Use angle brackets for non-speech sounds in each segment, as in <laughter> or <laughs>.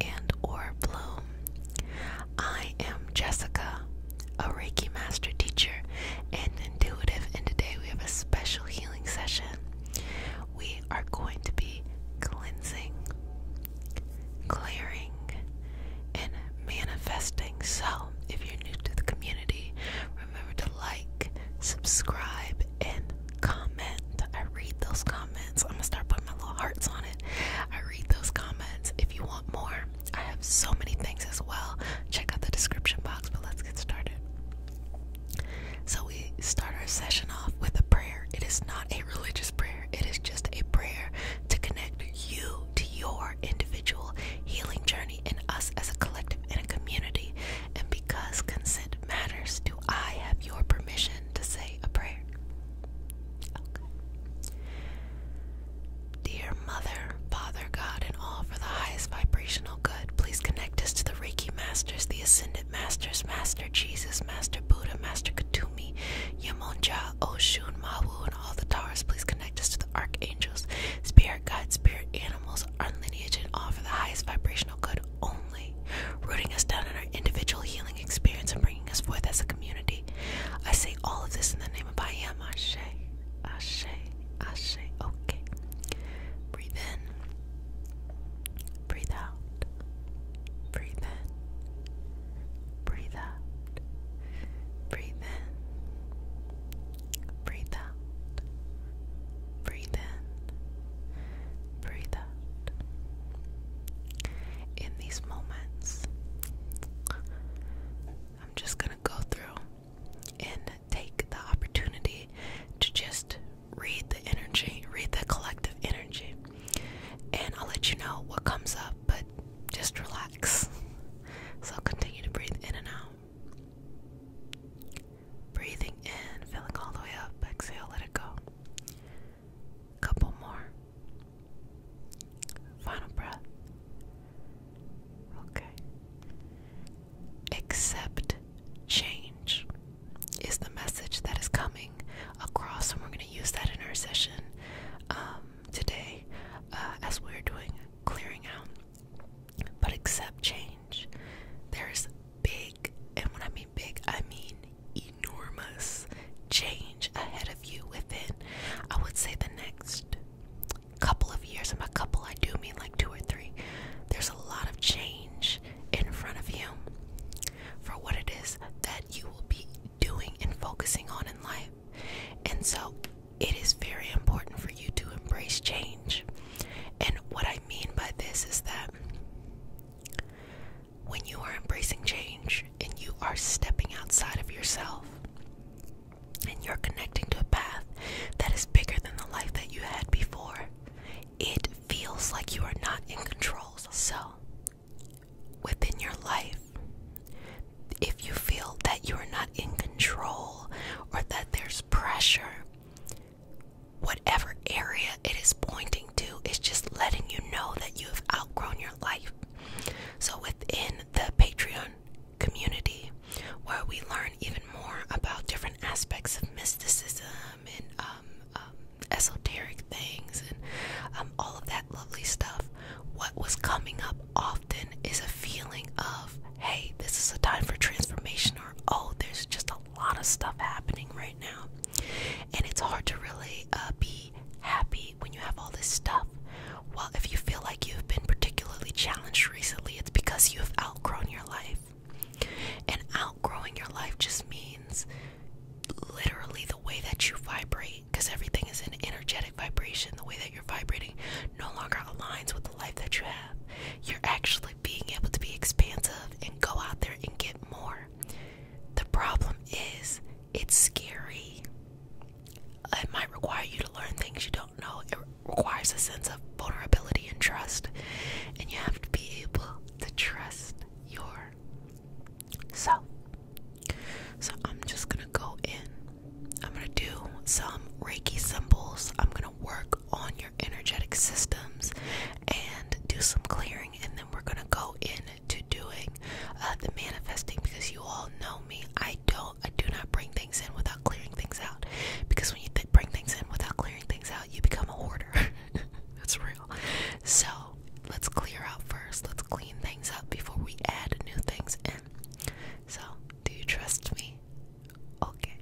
and or bloom. I am Jessica, a Reiki master teacher and intuitive, and today we have a special healing session. We are going to be cleansing, clearing, and manifesting. So, if you're new to the community, remember to like, subscribe, and comment. I read those comments. I'm gonna start putting my little hearts on it. I read those comments. If you want more, I have so many things as well. Check out the description box, but let's get started. So, we start our session off with a prayer. It is not a religious prayer, it is just a prayer to connect you to your individual healing journey and us as a collective and a community and because consent matters, do I have your permission to say a prayer? Dear Mother, Father, God, and all for the highest vibrational good, please connect us to the Reiki Masters, the Ascended Masters, Master Jesus, Master Buddha, Master Katumi, Yamonja, Oshun, Mawu, and all the Tars. Please connect us to the Archangels, Spirit Guides, Spirit Animals, our lineage, and all for the highest vibrational good only, rooting us down in our individual healing experience and bringing us forth as a community. I say all of this in the name of I am Ashe, Ashe, Ashe. Okay. Breathe in, breathe out, breathe in, breathe out, breathe in, breathe out, breathe in, breathe out. In these moments, I'm just going to go through and take the opportunity to just read the energy, read the collective energy, and I'll let you know what comes up, but just relax. So I'll continue to breathe in and out. Breathing in, filling all the way up. Exhale, let it go. Couple more. Final breath. Okay. Accept change is the message that is coming across, and we're going to use that in our session um, today uh, as we're doing clearing out. But accept change. There's big, and when I mean big, I mean enormous change ahead of you within, I would say, the next couple of years. And by couple, I do mean like two or three. There's a lot of change in front of you for what it is that you will be doing and focusing on in life. And so it is very important for you to embrace change. And what I mean by this is that when you are embracing change and you are stepping outside of yourself and you're connecting to a path that is bigger than the life that you had before, it feels like you are not in control. So, within your life, if you feel that you are not in control or that there's pressure, whatever area it is pointing to is just letting you know that you have outgrown your life. So, within the Patreon community, where we learn even more about different aspects of mysticism and um, um, esoteric things and um, all of that lovely stuff, what was coming up often is a feeling of, hey, this is a time for transformation, or oh, there's just a a lot of stuff happening right now, and it's hard to really uh, be happy when you have all this stuff. Well, if you feel like you've been particularly challenged recently, it's because you've outgrown your life. And outgrowing your life just means literally the way that you vibrate, because everything is an energetic vibration. The way that you're vibrating no longer aligns with the life that you have. You're actually being able to be expansive and go out there and get more the problem is, it's scary. It might require you to learn things you don't know. It requires a sense of vulnerability and trust. And you have to be able to trust your So I'm just going to go in. I'm going to do some Reiki symbols. I'm going to work on your energetic systems and do some clearing, and then we're gonna go into doing uh, the manifesting because you all know me. I don't, I do not bring things in without clearing things out because when you bring things in without clearing things out, you become a hoarder. <laughs> That's real. So let's clear out first. Let's clean things up before we add new things in. So, do you trust me? Okay.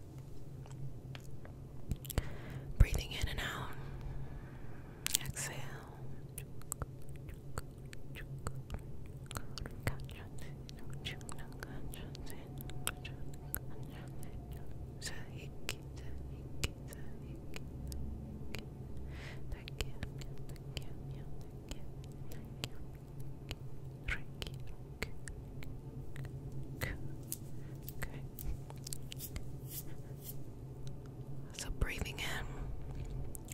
Breathing in and out. Exhale. So, breathing in,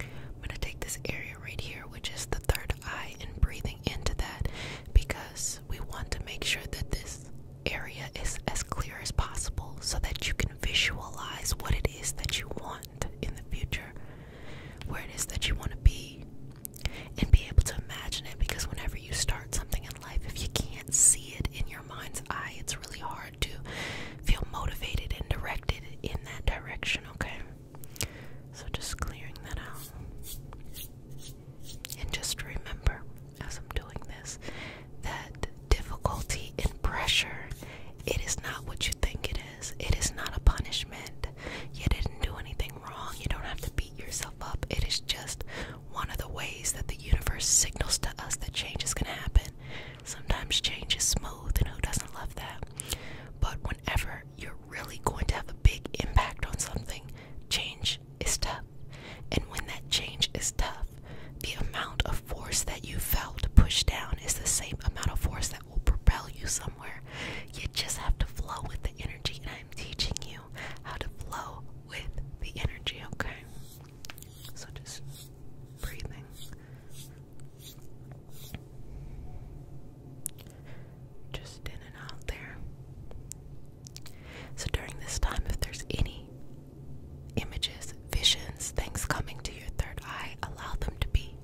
I'm going to take this area right here, which is the third eye, and breathing into that because we want to make sure that this area is as clear as possible so that you can visualize what it is that you want in the future, where it is that you want to be, and be able to imagine it because whenever you start something in life if you can't see it in your mind's eye it's really hard to feel motivated and directed in that direction okay so just clearing that out and just remember as i'm doing this that difficulty and pressure it is not what you think it is it is not a punishment you didn't do anything wrong you don't have to beat yourself up it is just one of the ways that the universe signals to us that change is going to happen. Sometimes change is smooth, and who doesn't love that? But whenever you're really going to have a big impact on something, change is tough. And when that change is tough, the amount of force that you felt to push down is the same amount of force that will propel you somewhere. You just have to flow with the energy, and I'm teaching you how to flow with the energy, okay? such as breathing. Just in and out there. So during this time, if there's any images, visions, things coming to your third eye, allow them to be.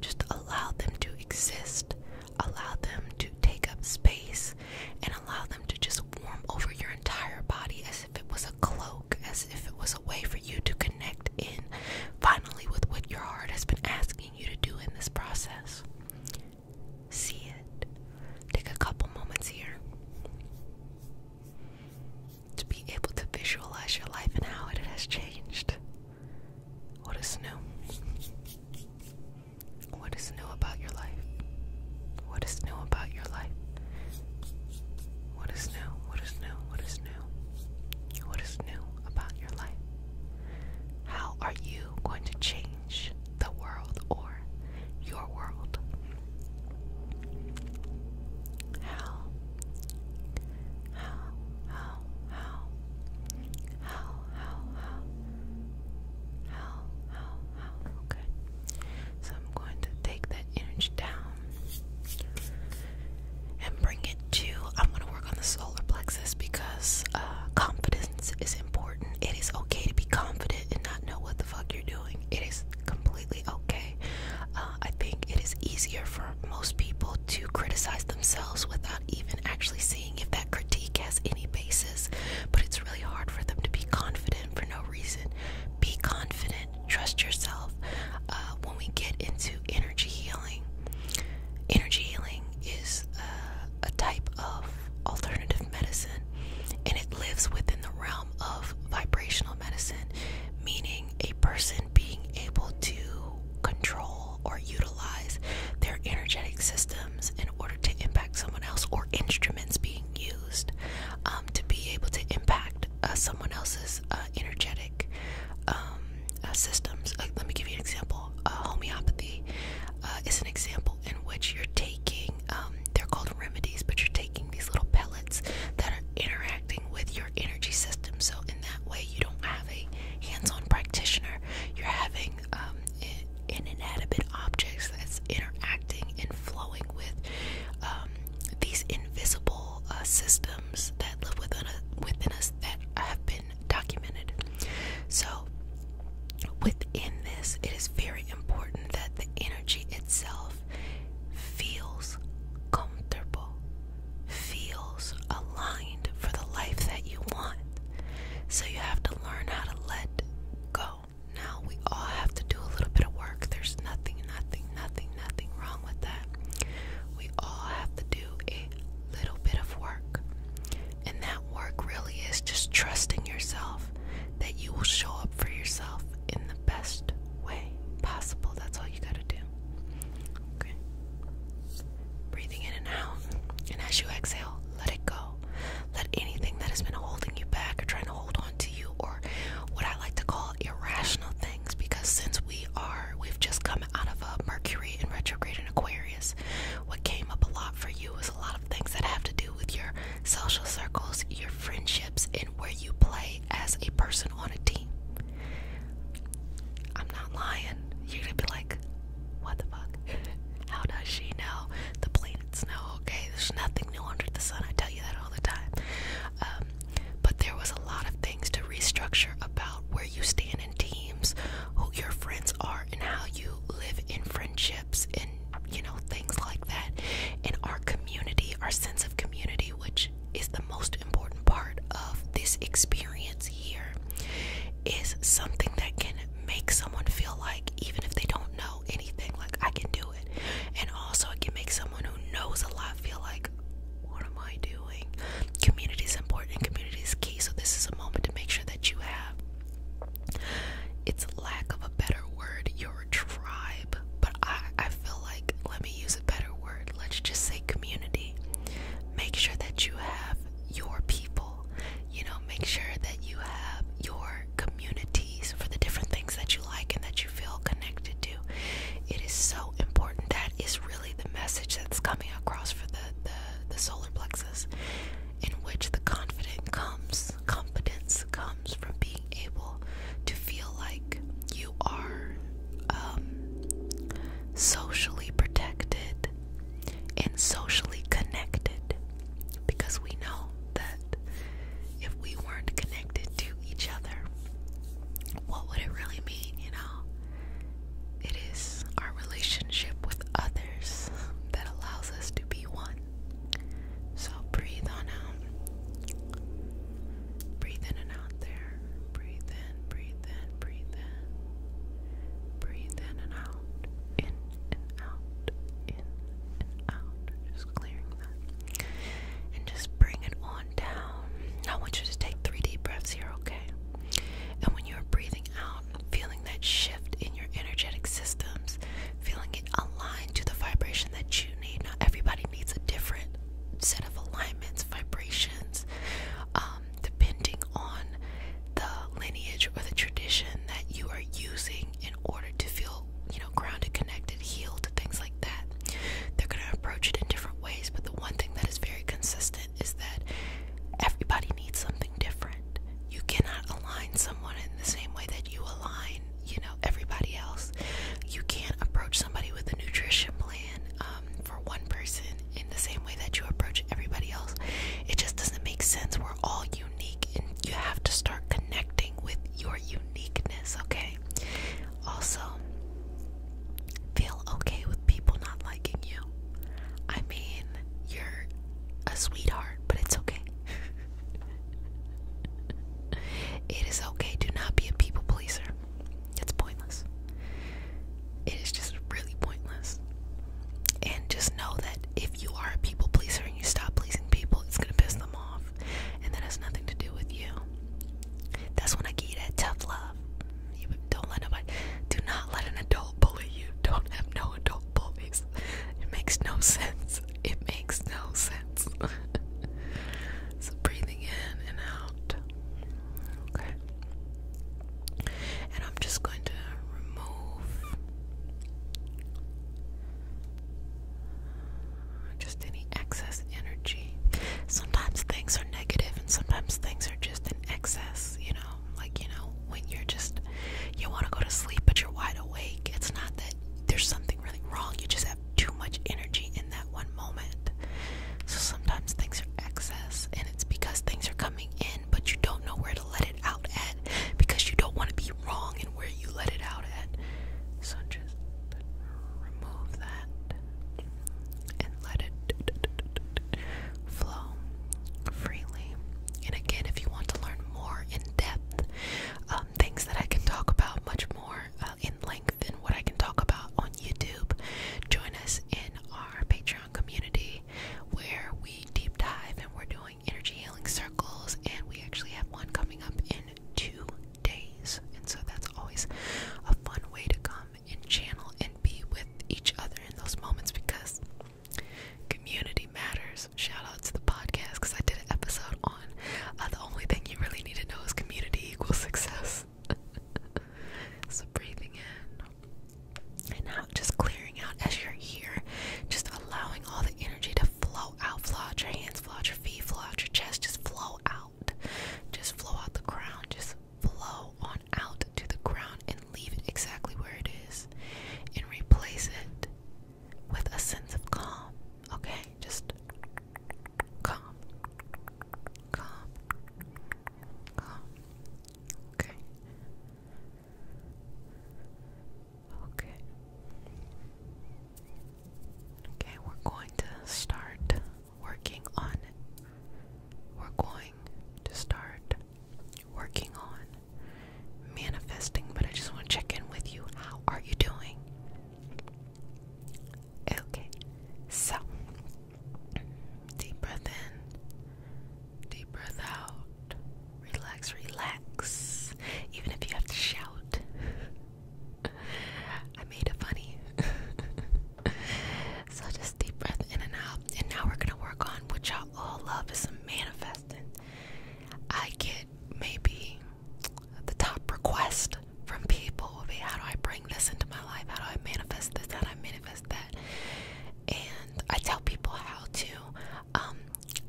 Just allow them to exist. Allow them to take up space allow them to just warm over your entire body as if it was a cloak, as if it was a way for you to connect in finally with what your heart has been asking you to do in this process. See it. Take a couple moments here to be able to visualize your life and how it has changed. What is new? What is new about your life? What is new about your life? What is new? What is new? What is new? What is new about your life? How are you going to change the world or your world? How? How? How? How? How? How? How? How? How? How? So I'm going to take that energy down and bring it to. I'm going to work on the solar plexus because uh, confidence is important. It is okay to be confident and not know what the fuck you're doing. It is completely okay. Uh, I think it is easier for most people to criticize themselves without even actually seeing if that critique has any basis, but it's really hard for them to be confident for no reason. Be confident, trust yourself. Uh, when we get into energy healing, energy healing is uh, a type of alternative medicine and it lives within the realm of vibrational medicine, meaning a person being able to control or utilize their energetic systems and in order to impact someone else or instruments being used um, to be able to impact uh, someone else's uh, energetic um, uh, systems. let me give you an example. homeopathy is an example in which you're taking, um, they're called remedies, but you're taking these little pellets that are interacting with your energy system. So, in that way, you don't have a hands on practitioner, you're having inanimate objects that's interacting and flowing with um, these invisible uh, systems that live within, within us that have been documented. So, within this, it is very important that the energy itself feels comfortable, feels aligned for the life that you want. So, you have to learn how to let go now we all have to do a little bit of work. There's nothing, nothing, nothing, nothing wrong with that. We all have to do a little bit of work. And that work really is just trusting yourself that you will show up for yourself in the best way possible. That's all you got to do. Okay. Breathing in and out. And as you exhale, let it go. Let anything that has been holding you back or trying to hold on to you, or what I like to call irrational things, because since we are, we've just come out of a Mercury in retrograde in Aquarius, what came up a lot for you was a lot of things that have to do with your social circles, your friendships, and where you play as a person on a team. I'm not lying. You're gonna be like, what the fuck? <laughs> How does she know the plane no okay. There's nothing new under the sun. I tell you that all the time. Um, but there was a lot of things to restructure about where you stand in teams, who your friends are, and how you live in friendships and you know things like that. And our community, our sense of community, which is the most important part of this experience here, is something that can make someone feel like even if they don't know anything. Like I can do it. And also it can make someone who knows a lot feel like, what am I doing? Community is important. Community is key. So this is a moment to make sure that you have it's lack of a better word, your tribe. But I, I feel like let me use a better word. Let's just say community. Make sure that you have your people, you know, make sure that you have your communities for the different things that you like and that you feel connected to. It is so important. That is really the message that's coming across for the the, solar plexus, in which the confident comes confidence comes from being able to feel like you are um, socially protected and socially connected because we know that if we weren't connected to each other, what would it really mean, you know? It is our relationship with others that allows us to be one. So breathe on out. Breathe in and out there. Breathe in, breathe in, breathe in. Breathe in and out. In and out, in and out. Just clearing that. And just bring it on down. I want you to take three deep breaths here, okay? And when you're breathing out, feeling that shift in your energetic systems, feeling it aligned to the vibration that you need. Not everybody needs a different set of alignments, vibrations, um, depending on the lineage or the tradition that you are using in order to feel, you know, grounded, connected, healed, things like that. They're going to approach it in different ways, but the one thing that is very consistent is that everybody needs something different. You cannot align someone in the same way that you align, you know, everybody else. You can't approach somebody with a nutrition plan um, for one person in the same way that you approach everybody else. It just doesn't make sense. We're all unique unique and you have to start connecting with your uniqueness, okay? Also, feel okay with people not liking you. I mean, you're a sweetheart, but it's okay. <laughs> it is okay. Do not be a people pleaser. It's pointless. It is just really pointless. And just know that if you are a people pleaser, you stop pleasing people, it's gonna piss them off, and that has nothing to do with you. That's when I give that tough love. don't let nobody, do not let an adult bully you. Don't have no adult bullies. It makes no sense. It makes no sense. <laughs> so breathing in and out. Okay. And I'm just going to remove just any excess energy. Sometimes things are negative and sometimes things are just in excess, you know? Like, you know, when you're just, you want to go to sleep but you're wide awake. It's not that there's something really wrong, you just have too much energy in that one moment. So sometimes things are excess and it's because things are coming in but you don't know where let it out at because you don't want to be wrong in where you let it out at. So just remove that and let it flow freely. And again, if you want to learn more in depth, um, things that I can talk about much more uh, in length than what I can talk about on YouTube, join us in our Patreon community where we deep dive and we're doing energy healing circles, and we actually have one coming up in two days. And so that's always a fun way to come and channel and be with each other in those moments because community matters. Shout out to the podcast because I did an episode on uh, the only thing you really need to know is community equals success. <laughs> so breathing in and out, just clearing out as you're here, just allowing all the energy to flow out. Flow your hands, flow out your feet, flow out your chest. Just flow out. Just flow out the crown. Just flow on out to the ground and leave it exactly where it is. And replace it with a sense of calm. Okay? Just calm. Calm. Calm. Okay. Okay. Okay, we're going to start working on. We're going to start working on manifesting, but I just want to check in with you. How are you doing? Okay, so deep breath in, deep breath out relax, relax. Even if you have to shout. <laughs> I made it funny. <laughs> so just deep breath in and out. And now we're gonna work on what y'all all love is some manifesting. I get maybe the top request from people will be how do I bring this into my life? How do I manifest this? How do I manifest that? And I tell people how to um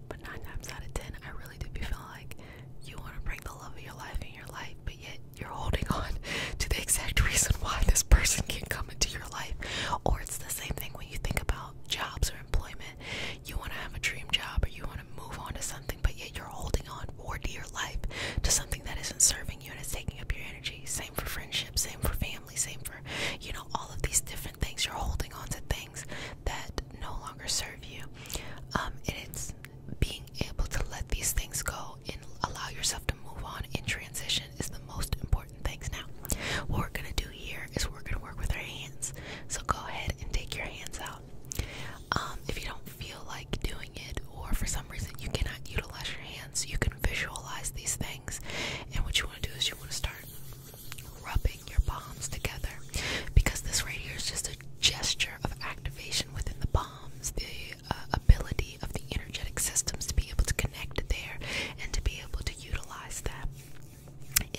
but nine times out of ten, I really do be feeling like you want to bring the love of your life in your life, but yet you're holding on <laughs> to the exact reason why this person can come into your life. Or it's the same thing when you think about jobs or employment. You want to have a dream job or you want to move on to something, but yet you're holding on more to your life to something that isn't serving you and is taking up your energy. Same for friendship, same for family, same for, you know, all of these different things. You're holding on to things things that no longer serve you. Um, and it's being able to let these things go and allow yourself to move on in transition is the most important things. Now, what we're gonna do here is we're gonna work with our hands. So go ahead and take your hands out. Um, if you don't feel like doing it, or for some reason you cannot utilize your hands, you can visualize these things. And what you want to do is you want to start rubbing holding your palms together because this right here is just a gesture of activation within the palms, the uh, ability of the energetic systems to be able to connect there and to be able to utilize that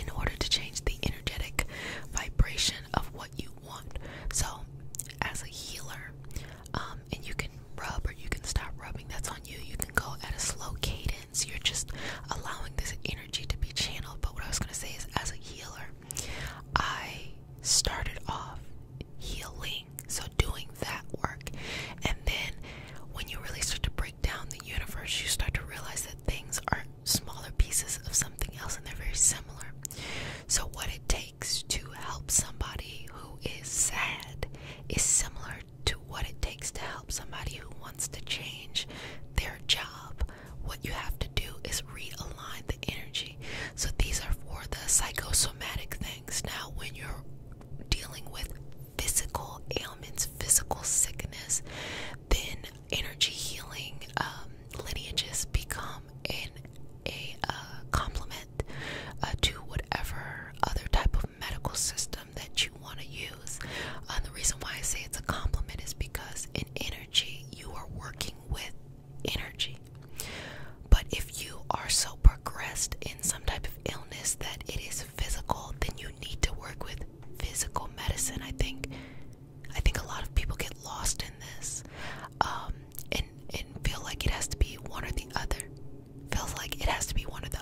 in order to change the energetic vibration of what you want. So, as a healer, um, and you can rub or you can stop rubbing, that's on you. You can go at a slow cadence guidance. You're just allowing this energy to be channeled. But what I was going to say is, as a healer, I started off healing, so doing that work. And then when you really start to break down the universe, you start to realize that things are smaller pieces of something else and they're very similar. So, what it takes to help somebody who is sad is similar to what it takes to help somebody who wants to change their job. What you have to do is realign the energy. So these are for the psychosomatic things. Now, when you're dealing with physical ailments, physical sickness, then energy healing um, lineages become an a uh, complement uh, to whatever other type of medical system that you want to use. Uh, the reason why I say it's a compliment is because in energy, you are working with energy. But if you are so progressed in some type of illness that it is physical, then you need to work with physical medicine. I think, I think a lot of people get lost in this, um, and and feel like it has to be one or the other. Feels like it has to be one of or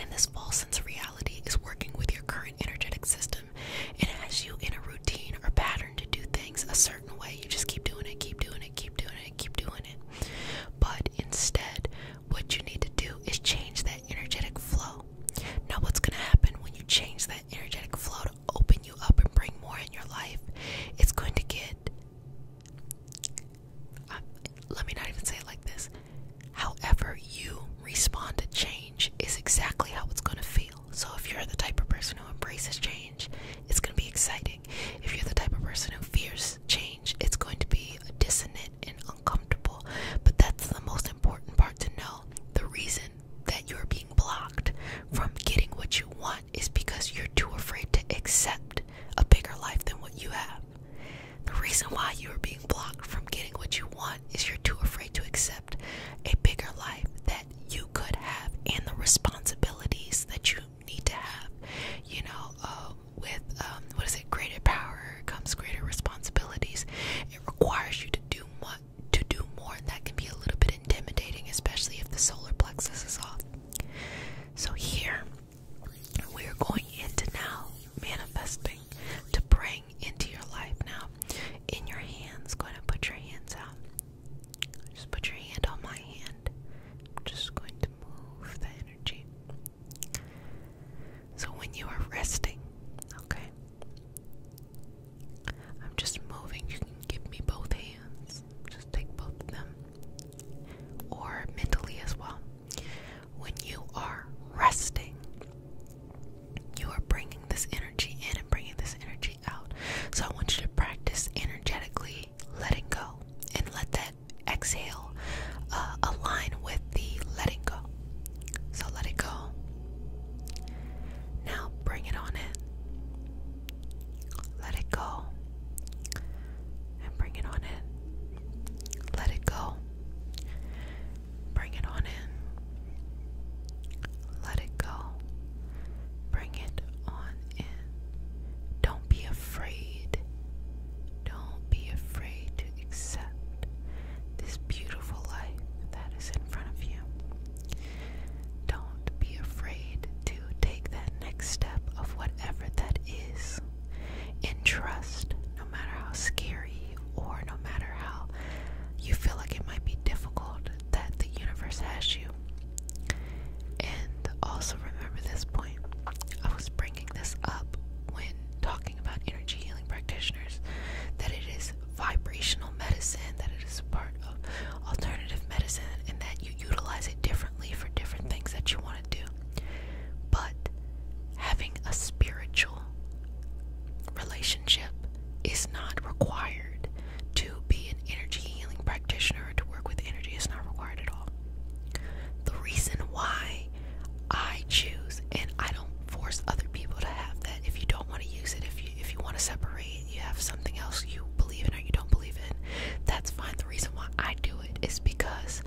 And this false sense of reality is working with your current energetic system. It has you in a routine or pattern to do things a certain way. You just keep doing it, keep doing it, keep doing it, keep doing it. But instead, what you need to do is change that energetic flow. Now, what's going to happen when you change that energetic flow to open you up and bring more in your life? It's going to get uh, let me not even say it like this. However, you respond to change is exactly how it's going to feel. So, if you're the type of person who embraces change, it's going to be exciting. If you're the type of person who fears change, it's going to be dissonant and uncomfortable. But that's the most important part to know. The reason that you're being blocked from getting what you want is because you're too afraid to accept a bigger life than what you have. The reason why you are being blocked from getting what you want is you're too afraid to accept a bigger life that you could have and the responsibilities that you need to have. You know, uh, with um, what is it? Greater power comes greater responsibilities. It requires you to do much, to do more, and that can be a little bit intimidating, especially if the solar plexus is off. So here, we are going into now manifesting to bring into your life now. In your hands, going to put your hands out. Just put your hand on my hand. I'm just going to move the energy. So when you are resting, okay, I'm just moving. You can give me both hands. Just take both of them or mentally as well. When you are resting, you are bringing this energy in and bringing this energy out. So I want you to practice energetically letting go and let that exhale uh, align with the letting go. So let it go. Now bring it on in. Let it go. And bring it on in. Let it go. Bring it on in. Let it go. Bring it on in. Don't be afraid. Don't be afraid to accept this beautiful life that is in front of you. Don't be afraid to take that next step of whatever that is in trust, no matter how scary or no matter how you feel like it might be difficult, that the universe has you. And also remember this point. I was bringing this up when talking about energy healing practitioners that it is vibrational medicine, that it is part of alternative medicine, and that you utilize it differently for different things that you want do. But having a spiritual relationship is not required to be an energy healing practitioner or to work with energy. It's not required at all. The reason why I choose and I don't force other people to have that if you don't want to use it, if you if you want to separate, you have something else you believe in or you don't believe in, that's fine. The reason why I do it is because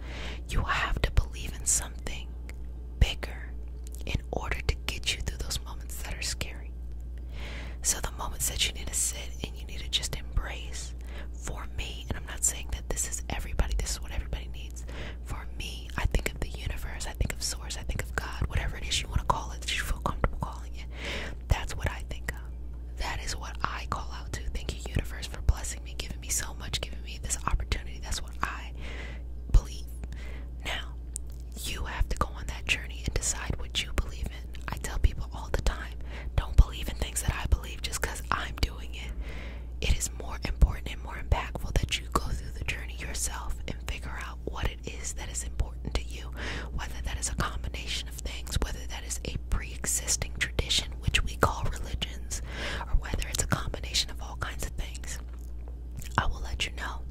you have to believe in something bigger in order to get you through those moments that are scary. So, the moments that you need to sit and you need to just embrace for me, and I'm not saying that this is everybody, this is what everybody needs. For me, I think of the universe, I think of source, I think of God, whatever it is you want to call it that you feel comfortable calling it. That's what I think of. That is what I call out to. Thank you, universe, for blessing blessing me, giving me so much, giving me this opportunity. That's what I believe. Now, you have to go on that journey and decide what you believe in. I tell people all the time don't believe in things that I believe just because I'm doing it. It is more important and more impactful that you go through the journey yourself and figure out what it is that is important to you, whether that is a combination of things, whether that is a pre existing tradition which we call religions, or whether it's a combination of all kinds of things. I will let you know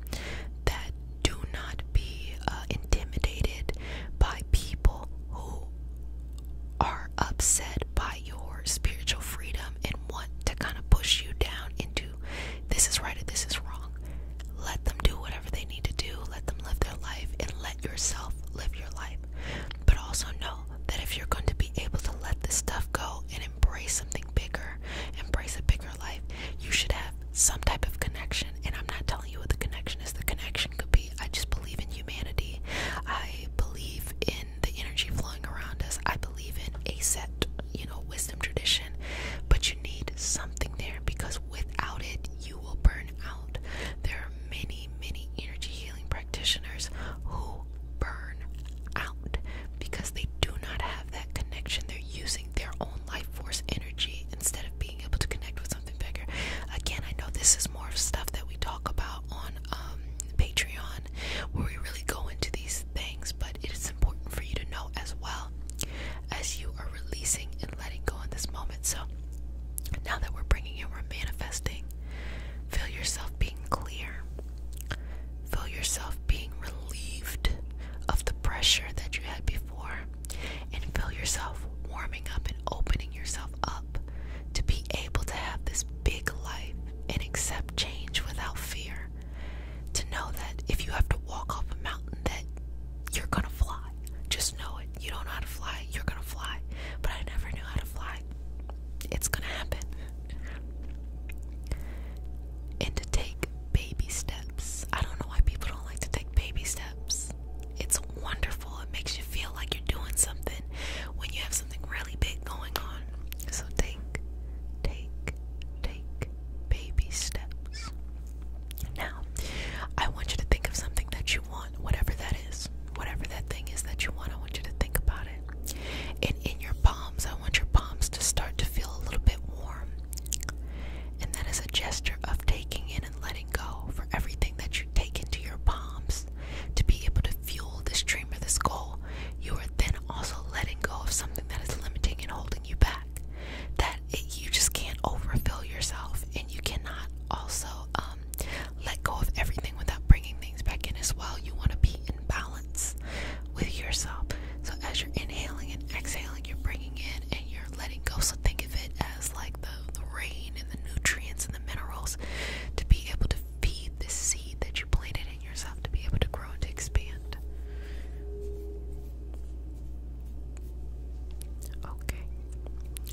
that do not be uh, intimidated by people who are upset by your spiritual freedom and want to kind of push you down into this is right or this is wrong. Let them do whatever they need to do, let them live their life, and let yourself live your life. But also know that if you're going to be able to let this stuff go and embrace something bigger, embrace a bigger life, you should have some type of connection. And I'm not telling you what the connection is, the connection could be I just believe in humanity, I believe in the energy flowing around us, I believe in a set, you know, wisdom tradition. But you need something there because without it, you will burn out. There are many, many energy healing practitioners who burn out because they do not have that connection. They're using their own life force energy instead of being able to connect with something bigger. Again, I know this is more of stuff that we talk about on um, Patreon where we really go into these things, but it is important for you to know as well as you are releasing and letting go in this moment. So now that we're bringing in, we're manifesting Feel yourself being clear. Feel yourself being relieved of the pressure that you had before. And feel yourself warming up and opening yourself up to be able to have this big life and accept change without fear. To know that if you have to walk off a mountain, that you're gonna fly. Just know it. You don't know how to fly, you're gonna fly. But I never knew how to fly. It's gonna happen. and to take baby steps. I don't know why people don't like to take baby steps. It's wonderful. It makes you feel like you're doing something when you have something really big going on. So take, take, take baby steps. Now, I want you to think of something that you whatever that is, whatever that thing is that you want, I want you to think about it. And in your palms, I want your palms to start to feel a little bit warm. And that is a gesture of taking in and letting go for everything that you take into your palms to be able to fuel this dream or this goal. You are then also letting go of something that is limiting and holding you back. That you just can't overfill yourself, and you cannot also um, um, let go of everything without bringing things back in as well. You want to be in balance with yourself. So as you're inhaling and exhaling, you're bringing in and you're letting go. So think of it as like the, the rain and the nutrients and the minerals to be able to feed the seed that you planted in yourself to be able to grow and expand. Okay.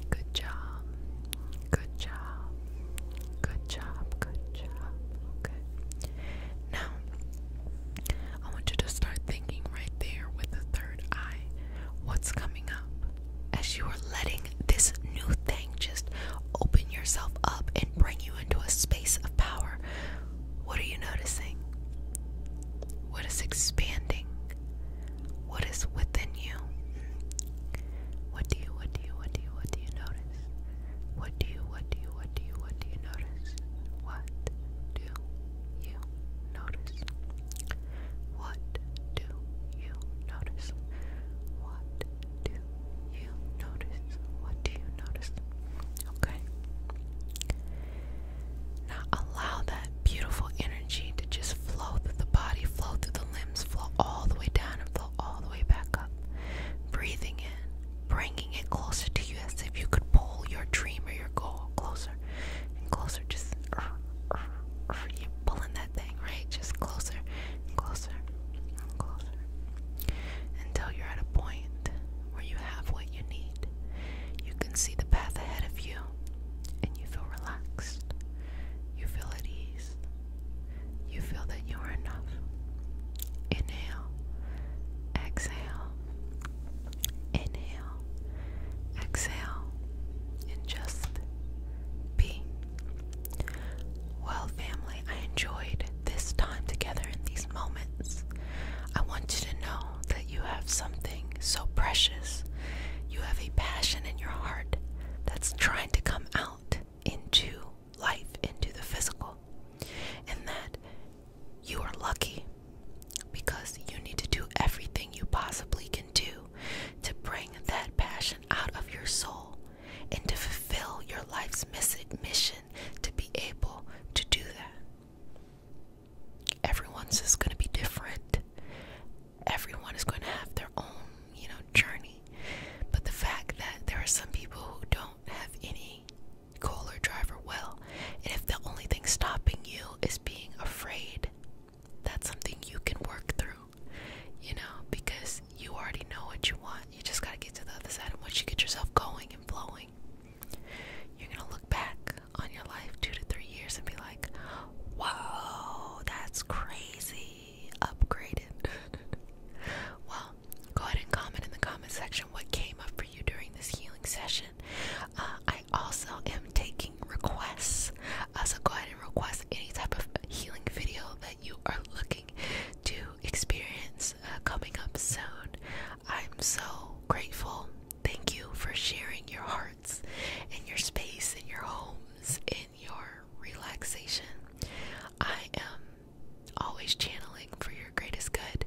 Good job. Good job. Good job. Good job. Okay. Now, I want you to start thinking right there with the third eye what's coming up as you are letting this new thing just open yourself up and bring you into a space of power. What are you noticing? What is expanding? What is within you? What do you, what do you, what do you, what do you notice? What do you, what do you, what do you, what do you notice? What do you notice? What do you notice? What do you notice? Okay. Now allow that beautiful energy energy to just flow through the body, flow through the limbs, flow all the way down, and flow all the way back up. Breathing in, bringing it closer to you as if you could pull your dream or your goal closer and closer. Just you pulling that thing, right? Just closer closer closer until you're at a point where you have what you need. You can see the path ahead of you and you feel relaxed. You feel at ease. You feel that you are enough. Inhale, exhale, inhale, exhale, and just be. Well, family, I enjoyed this time together in these moments. I want you to know that you have something so precious. You have a passion in your heart that's trying to come out into life, into the physical, and that you are lucky because you need to do everything you possibly can do to bring that passion out of your soul and to fulfill your life's mission to be able to do that. Everyone's is going to be different everyone is going to have their own, you know, journey. But the fact that there are some people who don't have any goal or drive or will, and if the only thing stopping you is being afraid, that's something you can work through. You know, because you already know what you want. You just gotta get to the other side. And once you get yourself going and flowing, you're gonna look back on your life two to three years and be like, whoa, that's crazy upgraded? <laughs> well, go ahead and comment in the comment section what came up for you during this healing session. Uh, I also am taking requests, uh, so go ahead and request any type of healing video that you are looking to experience uh, coming up soon. I'm so grateful. Thank you for sharing your hearts and your space and your homes your relaxation. I am always channeling for your greatest good,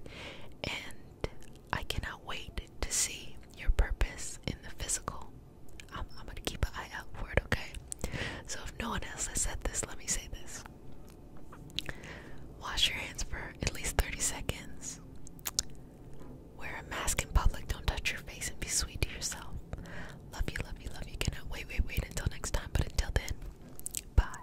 and I cannot wait to see your purpose in the physical. I'm going to keep an eye out for it, okay? So, if no one else has said this, let me say this wash your hands for at least 30 seconds. Wear a mask in public. Don't touch your face and be sweet to yourself. Love you, love you, love you. Cannot wait, wait, wait until next time. But until then, bye.